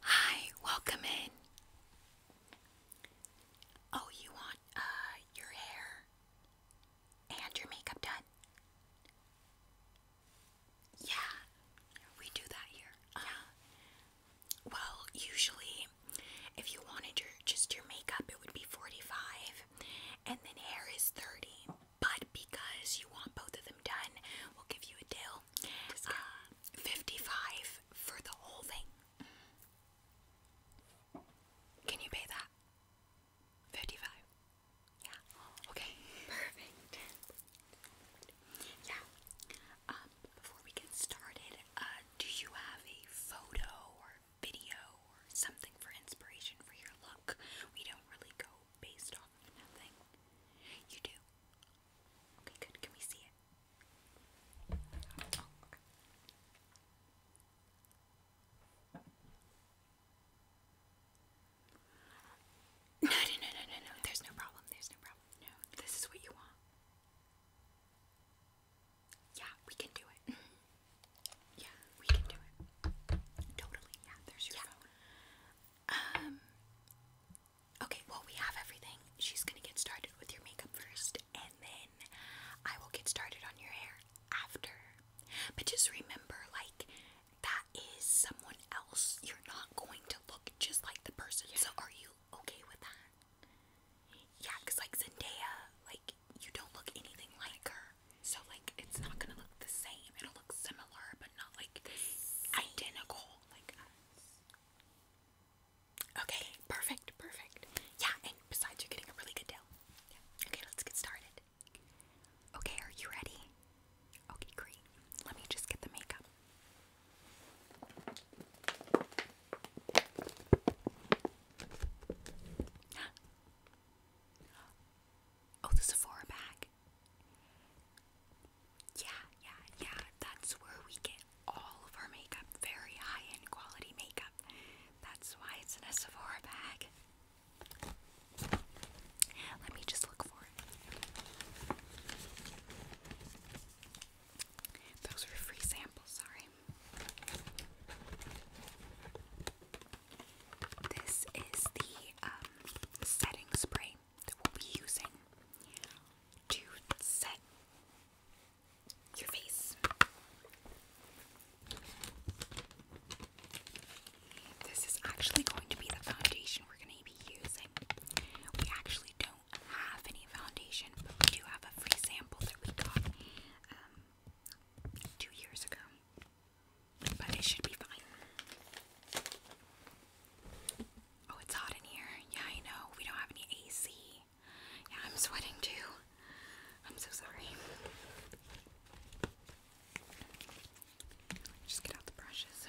Hi, welcome in. Oh, you want uh your hair and your makeup done? Yeah, we do that here. Uh-huh. Yeah. well, usually if you wanted your just your makeup it would be 45 and then hair is 30. But because you want both of them done, we'll give you a deal um, 55 for the whole thing. Can you pay that? 55. Yeah. Okay. Perfect. Yeah. Um, before we get started, uh, do you have a photo or video or something for inspiration for your look? We don't really go based off nothing. You do? Okay, good. Can we see it? No, no, no, no, no, no. There's no problem. There's no problem. No, this is what you want. Yeah, we can do it. Yeah, we can do it. Totally. Yeah, there's your yeah. phone. Um, Okay, well, we have everything. She's gonna get started with your makeup first, and then I will get started on your hair after. But just remember, like, that is someone else. You're not going to look just like the person. So, are you okay with that? Yeah, because, like, Zendaya, like, you don't look anything like her. So, like, it's not gonna look the same. It'll look similar, but not like identical. Like, Okay, perfect, perfect. Yeah, and besides, you're getting a really good deal. Okay, let's get started. Okay, are you ready? Okay, great. Let me just get the makeup. Oh, the Sephora bag. Yeah, yeah, yeah. That's where we get all of our makeup. Very high end quality makeup. That's why it's in a Sephora bag. Let me just look for it. Those are free samples, sorry. This is the um, setting spray that we'll be using to set your face. This is actually going to be the foundation we're going to be using. We actually don't have any foundation, but we do have a free sample that we got um, two years ago. But it should be fine. Oh, it's hot in here. Yeah, I know. We don't have any AC. Yeah, I'm sweating too. I'm so sorry. Just get out the brushes.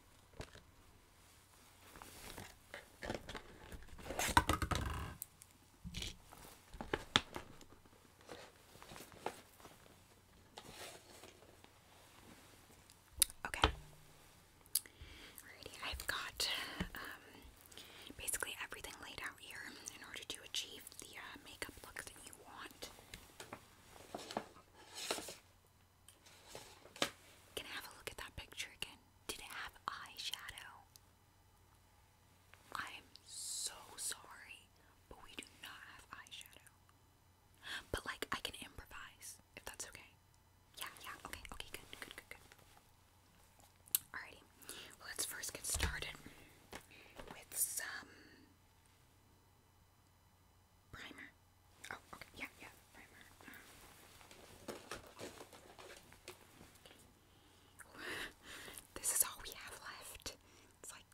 Okay. Alrighty, I've got um, basically everything laid out here in order to achieve the uh, makeup look that you want. Can I have a look at that picture again? Did it have eyeshadow? I'm so sorry, but we do not have eyeshadow. But like I can improvise if that's okay. Yeah, yeah, okay, okay, good, good, good, good. Alrighty, let's first get started with some Primer. Oh, okay. Yeah, yeah, primer. Um, this is all we have left. It's like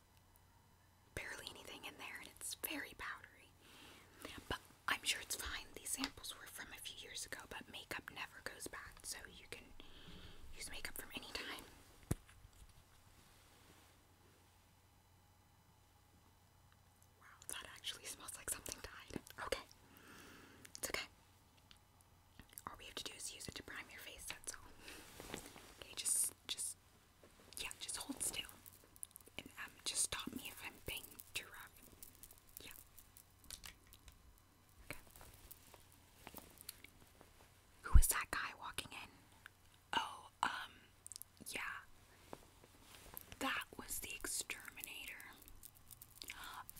barely anything in there and it's very powdery. But I'm sure it's fine. These samples were from a few years ago, but makeup never goes bad, so you can use makeup from any time. Wow, that actually smells like something died. Okay. It's okay. All we have to do is use it to prime your face, that's all. Okay, just just yeah, just hold still. And um just stop me if I'm being too rough. Yeah. Okay. Who is that guy walking in? Oh, um, yeah. That was the exterminator.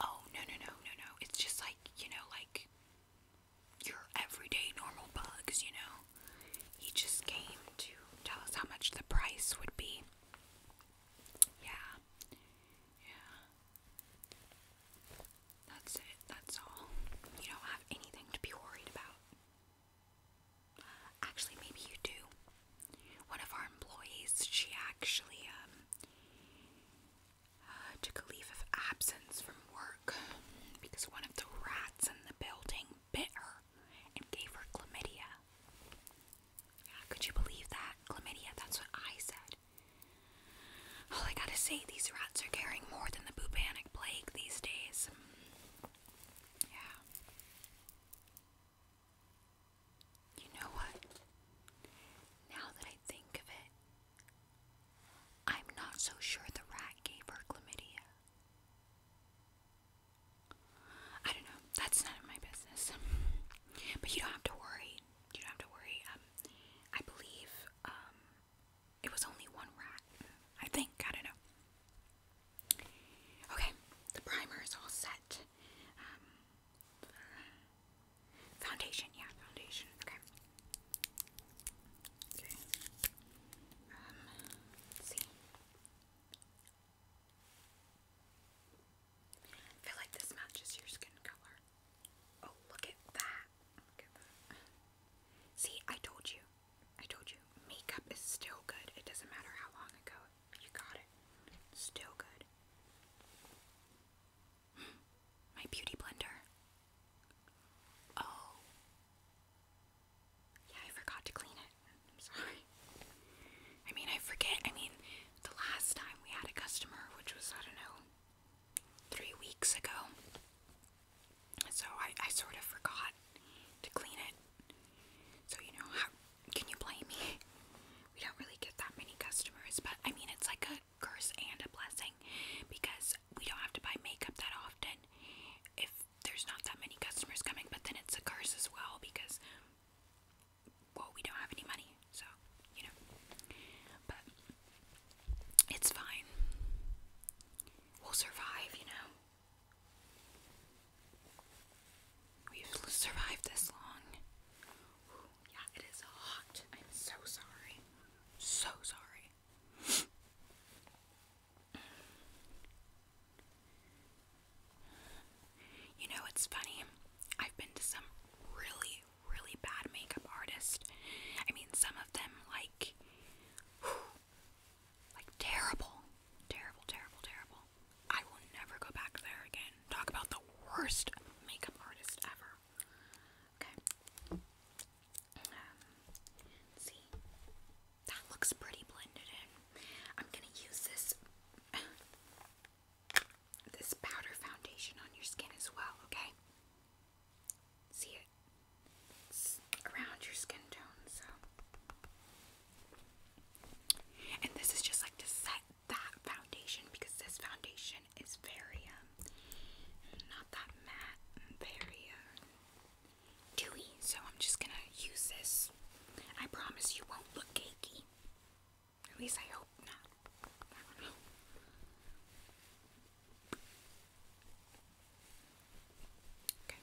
Oh, no, no, no, no, no. It's just like, you know, like your everyday normal bugs, you know? He just came to tell us how much the price would be. Yeah. Yeah. That's it. That's all. You don't have anything to be worried about. Actually, maybe you do. One of our employees, she actually um, uh, took a leave of absence from work because one of the rats in the building bit her and gave her chlamydia. could you believe that? Chlamydia, that's what I said. All I gotta say, these rats are carrying more than the bubonic plague these days. Yeah. You know what? Now that I think of it, I'm not so sure the rat gave her chlamydia. I don't know. That's none my business. but you don't have to worry. You don't have to worry. Um, I believe um, it was only one rat. I think. I don't know. Okay, the primer is all set. Um, foundation, yeah, foundation. Okay. Okay. Um, see. I feel like this matches your skin color. Oh, look at that. Look at that. See, I told you. I told you, makeup is still good. It doesn't matter how long ago you got it. still good. Hmm, my beauty blender. Oh. Yeah, I forgot to clean it. I'm sorry. I mean, I forget. I mean, the last time we had a customer, which was, I don't know, three weeks ago. So I, I sort of forgot to clean it. So, you know, how can you blame me? We don't really get that many customers, but I mean, it's like a curse and a blessing because we don't have to buy makeup that often if there's not that many customers coming, but then it's a curse as well because, well, we don't have any money, so, you know. But it's fine. We'll survive, you know. We've survived this long. yeah, it is hot. I'm so sorry. So sorry. You know, it's funny. I've been to some really, really bad makeup artists. I mean, some of them, like, like terrible. Terrible, terrible, terrible. I will never go back there again. Talk about the worst makeup artist ever. Okay. Um, see. That looks pretty blended in. I'm gonna use this this powder foundation on your skin as well, okay? See it? It's around your skin tone, so and this is just like to set that foundation because this foundation is very, um, not that matte, very uh, dewy. So I'm just gonna use this. I promise you won't look cakey. At least I hope not. Okay.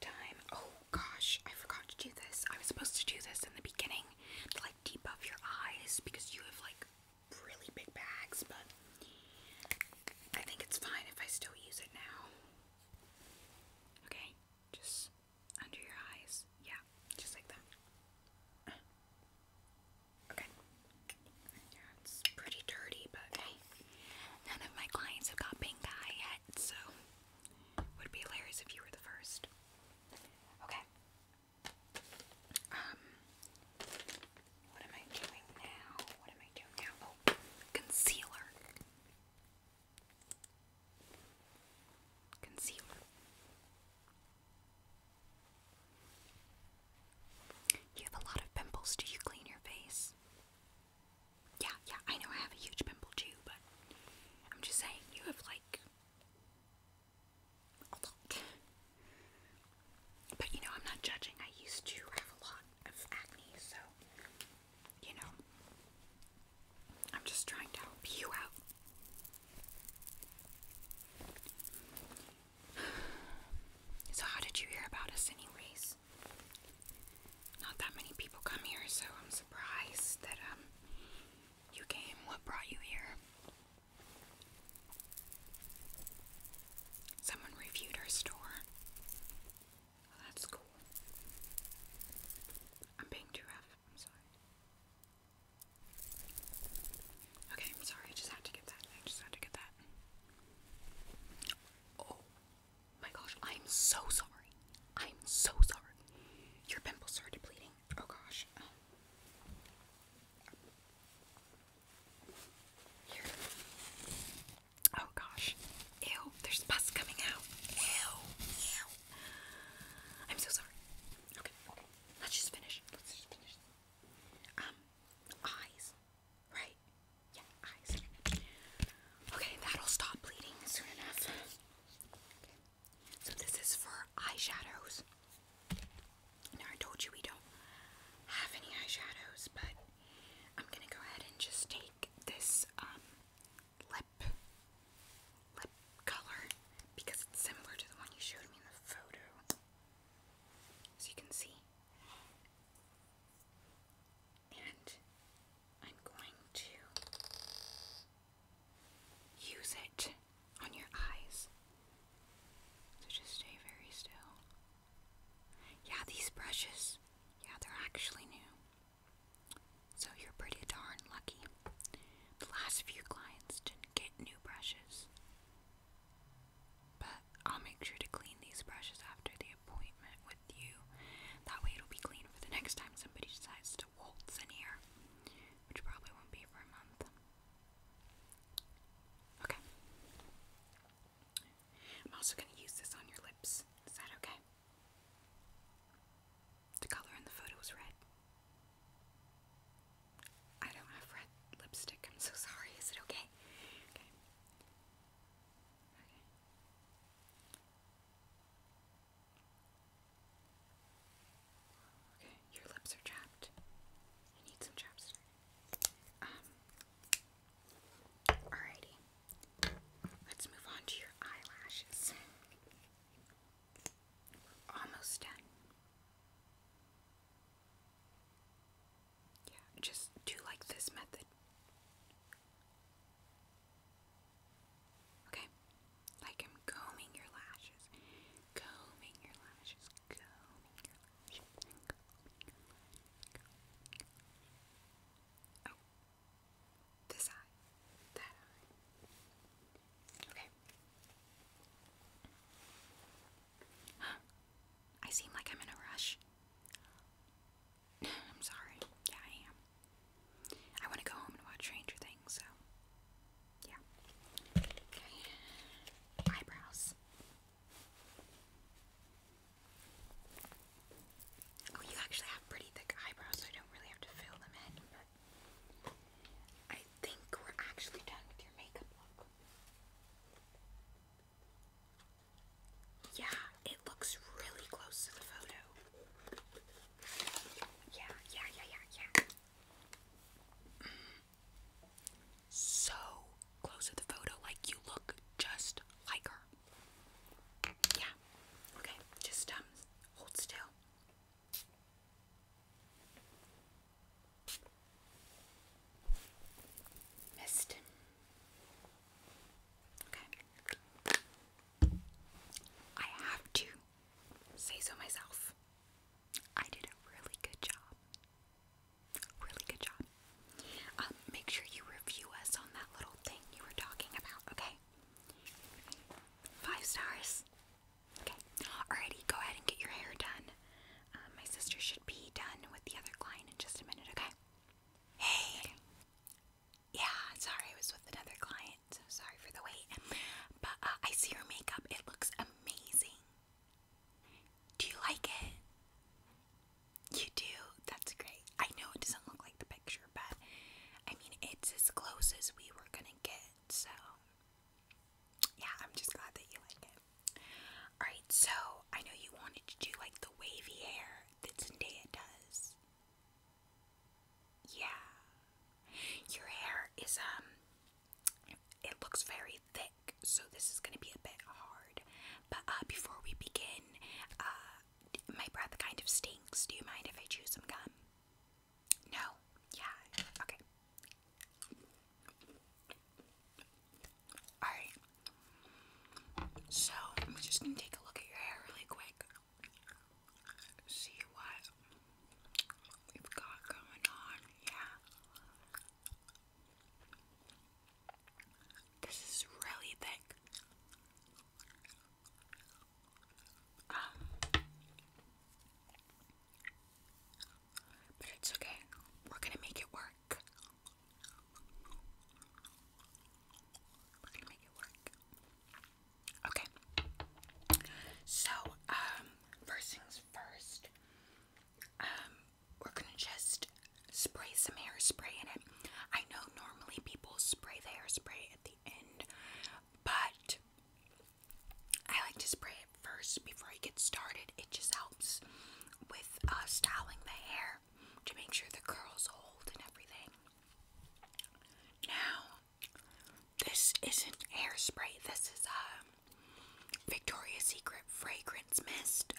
Time. Oh gosh, I forgot to do this. I was supposed to do this in the beginning to like debuff your eyes because you have like really big bags, but I think it's fine if I still use it now. Okay, just under your eyes. Yeah, just like that. Okay. Yeah, it's pretty dirty, but none of my clients have got pink eye yet, so would be hilarious if you were the first. Okay. Um, what am I doing now? What am I doing now? Oh, concealer. Concealer. You have a lot of pimples. Do you clean your face? Yeah, yeah, I know I have a huge pimple too, but I'm just saying, you have like a lot. But you know, I'm not judging. I used to have a lot of acne, so you know, I'm just trying to help you out. So, how did you hear about us, anyways? Not that many people come here, so I'm surprised that um you came. What brought you here? Someone reviewed our store. Oh, that's cool. I'm being too rough. I'm sorry. Okay, I'm sorry. I just had to get that. I just had to get that. Oh my gosh, I'm so sorry. I'm so sorry. Your pimples started bleeding. Oh gosh. Oh gosh. Ew, there's pus coming out. Ew, ew. I'm so sorry. okay. Let's just finish. Let's just finish. Um, eyes. Right? Yeah, eyes. Okay, that'll stop bleeding soon enough. Okay. So this is for eyeshadows. Now I told you we don't have any eyeshadows, but I'm gonna go ahead and just take this um, lip lip color because it's similar to the one you showed me in the photo. As you can see, and I'm going to use it on your eyes. So just stay very still. Yeah, these brushes, yeah, they're actually new. So you're pretty darn lucky. The last few clients didn't get new brushes. But I'll make sure to clean these brushes after the appointment with you. That way it'll be clean for the next time somebody decides to waltz in here, which probably won't be for a month. Okay. I'm also going to use this on your lips. Is that okay? The color in the photo is red. I don't have red lipstick. I'm so sorry. Is it okay? Okay. Okay. your lips are chapped. You need some chapstick. Um. Alrighty. Let's move on to your eyelashes. Almost done. Yeah, just do like this method. Okay? Like I'm combing your lashes. Combing your lashes. Combing your lashes. Oh. This eye. That eye. Okay. I seem like I'm in a rush. I'm sorry. Yeah, I am. I want to go home and watch Stranger Things, so. Yeah. Okay. Eyebrows. Oh, you actually have pretty thick eyebrows, I don't really have to fill them in, but. I think we're actually done with your makeup look. Yeah, it looks really close to the photo. Yeah, yeah, yeah, yeah, yeah. So close to the photo, like you look just like her. Yeah. Okay, just um, hold still. Missed. Okay. I have to say so myself. I did a really good job. Really good job. Um, make sure you review us on that little thing you were talking about, okay? Five stars. Okay. Alrighty, go ahead and get your hair done. Um, my sister should be done with the other client in just a minute, okay? Hey! Yeah, sorry, I was with another client, so sorry for the wait. But uh, I see your makeup, it looks amazing. Do you like it? You do? That's great. I know it doesn't look like the picture, but I mean, it's as close as we were gonna get, so yeah, I'm just glad that you like it. Alright, so I know you wanted to do like the wavy hair that Zendaya does. Yeah. Your hair is, um, it looks very thick, so this is gonna be a bit hard. But uh, before we begin, uh, my breath kind of stinks. Do you mind if I chew some gum? No? Yeah. Okay. Alright. So, I'm just gonna take a look at your hair really quick. See what we've got going on. Yeah. This is really thick. Um, but it's okay. We're gonna make it work. Okay. So, um, first things first, um, we're gonna just spray some hairspray in it. I know normally people spray the hairspray at the end, but I like to spray it first before I get started. It just helps with uh, styling the hair to make sure the curls hold and everything. Now, this isn't hairspray, this is a um, Victoria's Secret fragrance mist,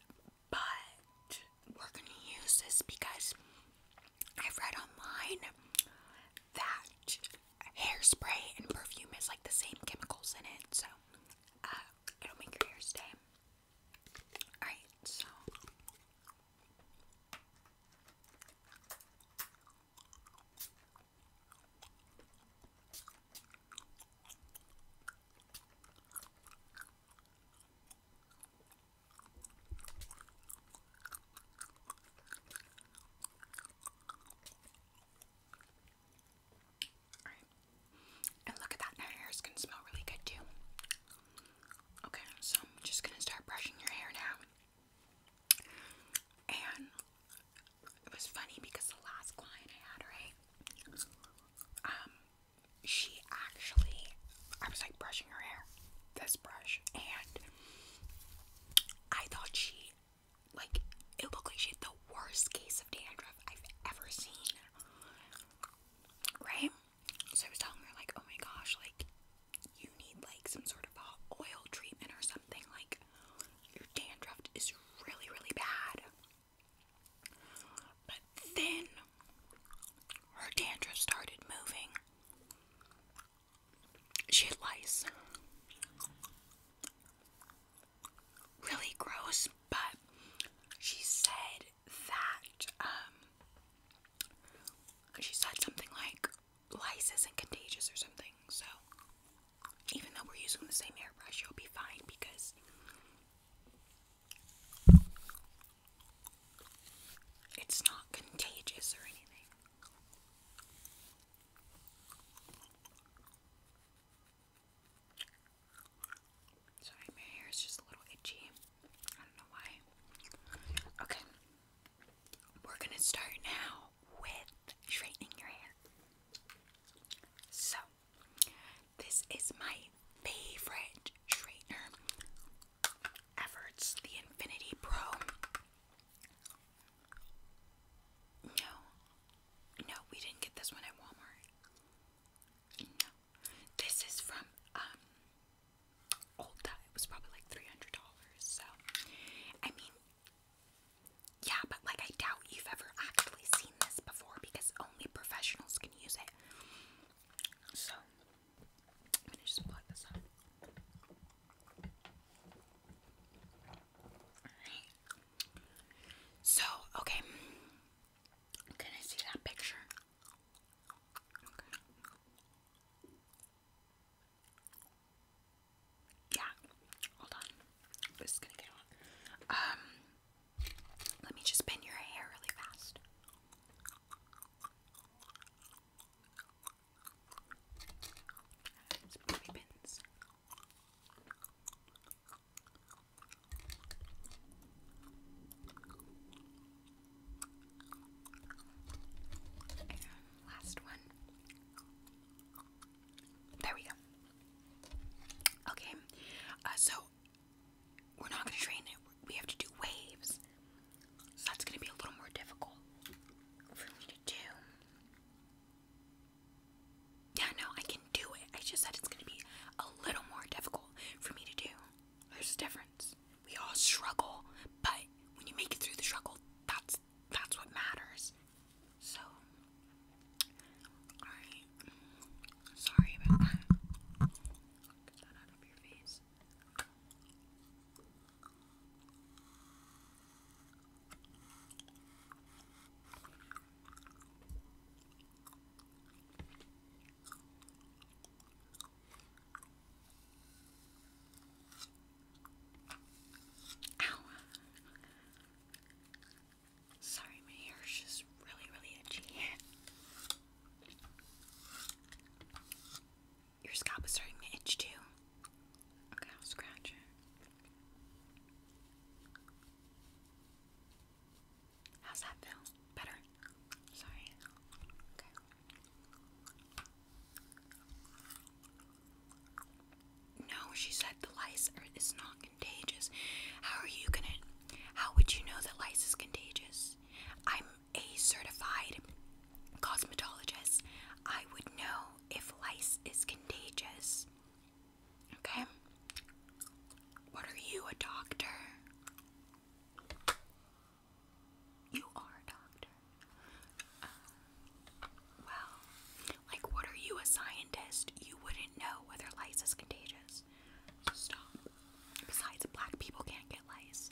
but we're gonna use this because I've read online that hairspray and perfume is like the same chemicals in it, so uh, it'll make your hair stay Alright, so and look at that, now your hair's gonna smell really good too. Okay, so I'm just gonna start brushing your hair now. And it was funny because the last client I had, right? Um, she actually I was like brushing her hair, this brush, and I thought she like it looked like she had the worst case of dandruff I've ever seen right? So I was telling her like, oh my gosh, like you need like some sort of oil treatment or something. Like your dandruff is really, really bad. But then her dandruff started moving. She had lice. Really gross. But she said that um she said something like lice isn't contagious or something, so even though we're using the same airbrush, you'll be fine because it's not contagious or anything. Sorry, my hair is just a little itchy. I don't know why. Okay, we're gonna start now with straightening your hair. So, this is my favorite straightener ever. the Infinity Pro. No, no, we didn't get this one at Walmart. This is from um Ulta. It was probably like three hundred dollars. So I mean yeah, but like I doubt you've ever actually seen this before because only professionals can use it. So I'm just plug this up. Alright. So, okay. Can I see that picture? Yeah, hold on. I'm gonna get Um, let me just pin your hair really fast. It's baby pins last one. There we go. Okay, uh, so we're not going to train it. We have to do waves. So that's going to be a little more difficult for me to do. Yeah, no, I can do it. I just said it's going to be a little more difficult for me to do. There's a difference. We all struggle, but when you make it through the struggle, that's that's what matters. So, alright. Sorry about that. Get that out of your face. Ow. Sorry, my hair is just really, really itchy. Your scalp is starting to itch too. Okay, I'll scratch it. How's that feel? Better? Sorry. Okay. No, she said the lice are, is not contagious. How are you gonna? How would you know that lice is contagious? I'm a certified cosmetologist. I would know if lice is contagious. Okay? What are you, a doctor? You are doctor. Uh, well, like, what are you, a scientist? You wouldn't know whether lice is contagious. stop. Besides, black people can't get lice.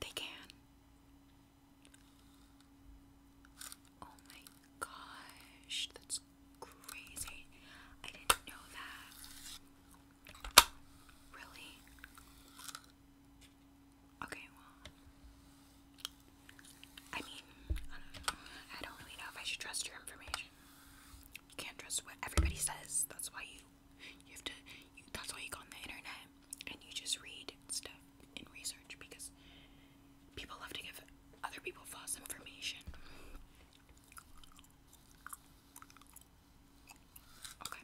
They can. Oh my gosh, that's crazy. I didn't know that. Really? Okay, well. I mean, I don't, really know if I should trust your information. You can't trust what everybody says. That's why you you have to. that's why you go on the internet and you just read stuff and research because people love to give other people false information. Okay.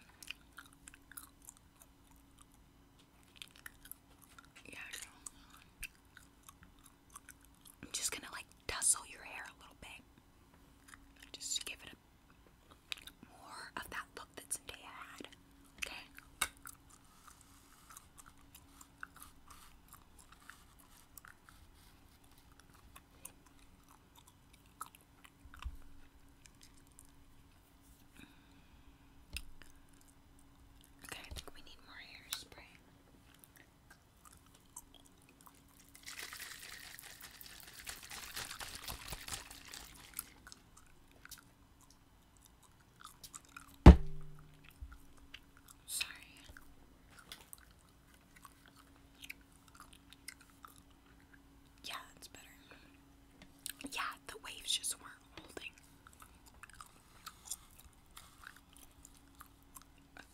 Yeah, I am just gonna like tussle your hair a little bit. Just give it a more of that look that Zendaya had. Okay. Okay, I think we need more hairspray. Sorry. Yeah, that's better. Yeah, the waves just weren't holding.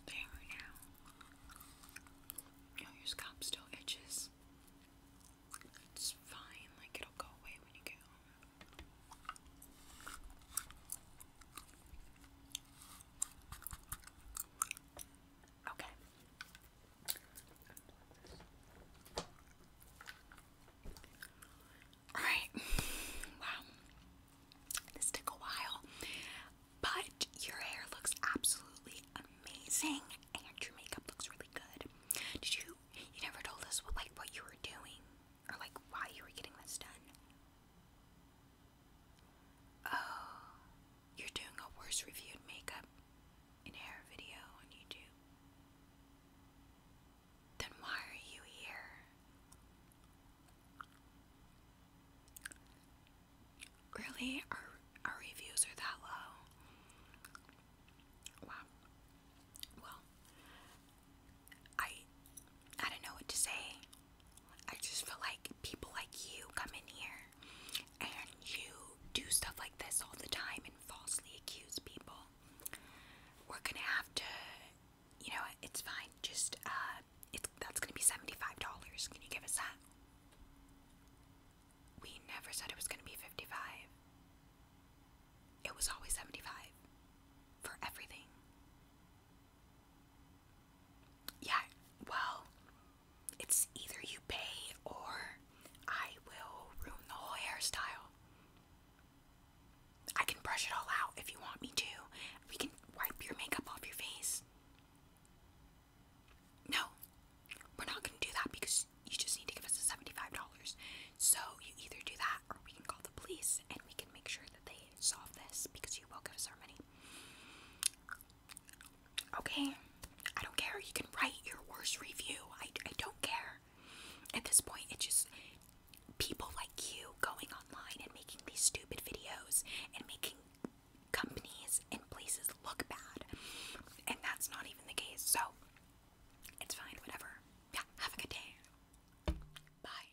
There now. your scalp still itches. It's fine, like it'll go away when you get home. Okay. Alright. Wow. This took a while. But your hair looks absolutely amazing and your makeup looks really good. Did you you never told us like what you were doing or like why you were getting this done? Oh, you're doing a worse reviewed makeup and hair video on YouTube. Then why are you here? Really? Our, our reviews are that low? Wow. Well, I I don't know what to say. I just feel like people like you come in here and you do stuff like this all the time and falsely accuse people. We're gonna have to, you know, it's fine. Just uh, it's that's gonna be seventy-five dollars. Can you give us that? We never said it was gonna be fifty-five. It was always seventy-five for everything. Yeah, well, it's either you pay or I will ruin the whole hairstyle. I can brush it all out if you want me to. We can wipe your makeup off your face. No, we're not gonna do that because you just need to give us the $75. So you either do that or we can call the police and we can make sure that they solve this because you will give us our money. Okay, I don't care. You can write your worst review. I, I don't care. At this point, it's just people like you going online and making these stupid videos and making companies and places look bad. And that's not even the case. So it's fine, whatever. Yeah, have a good day. Bye.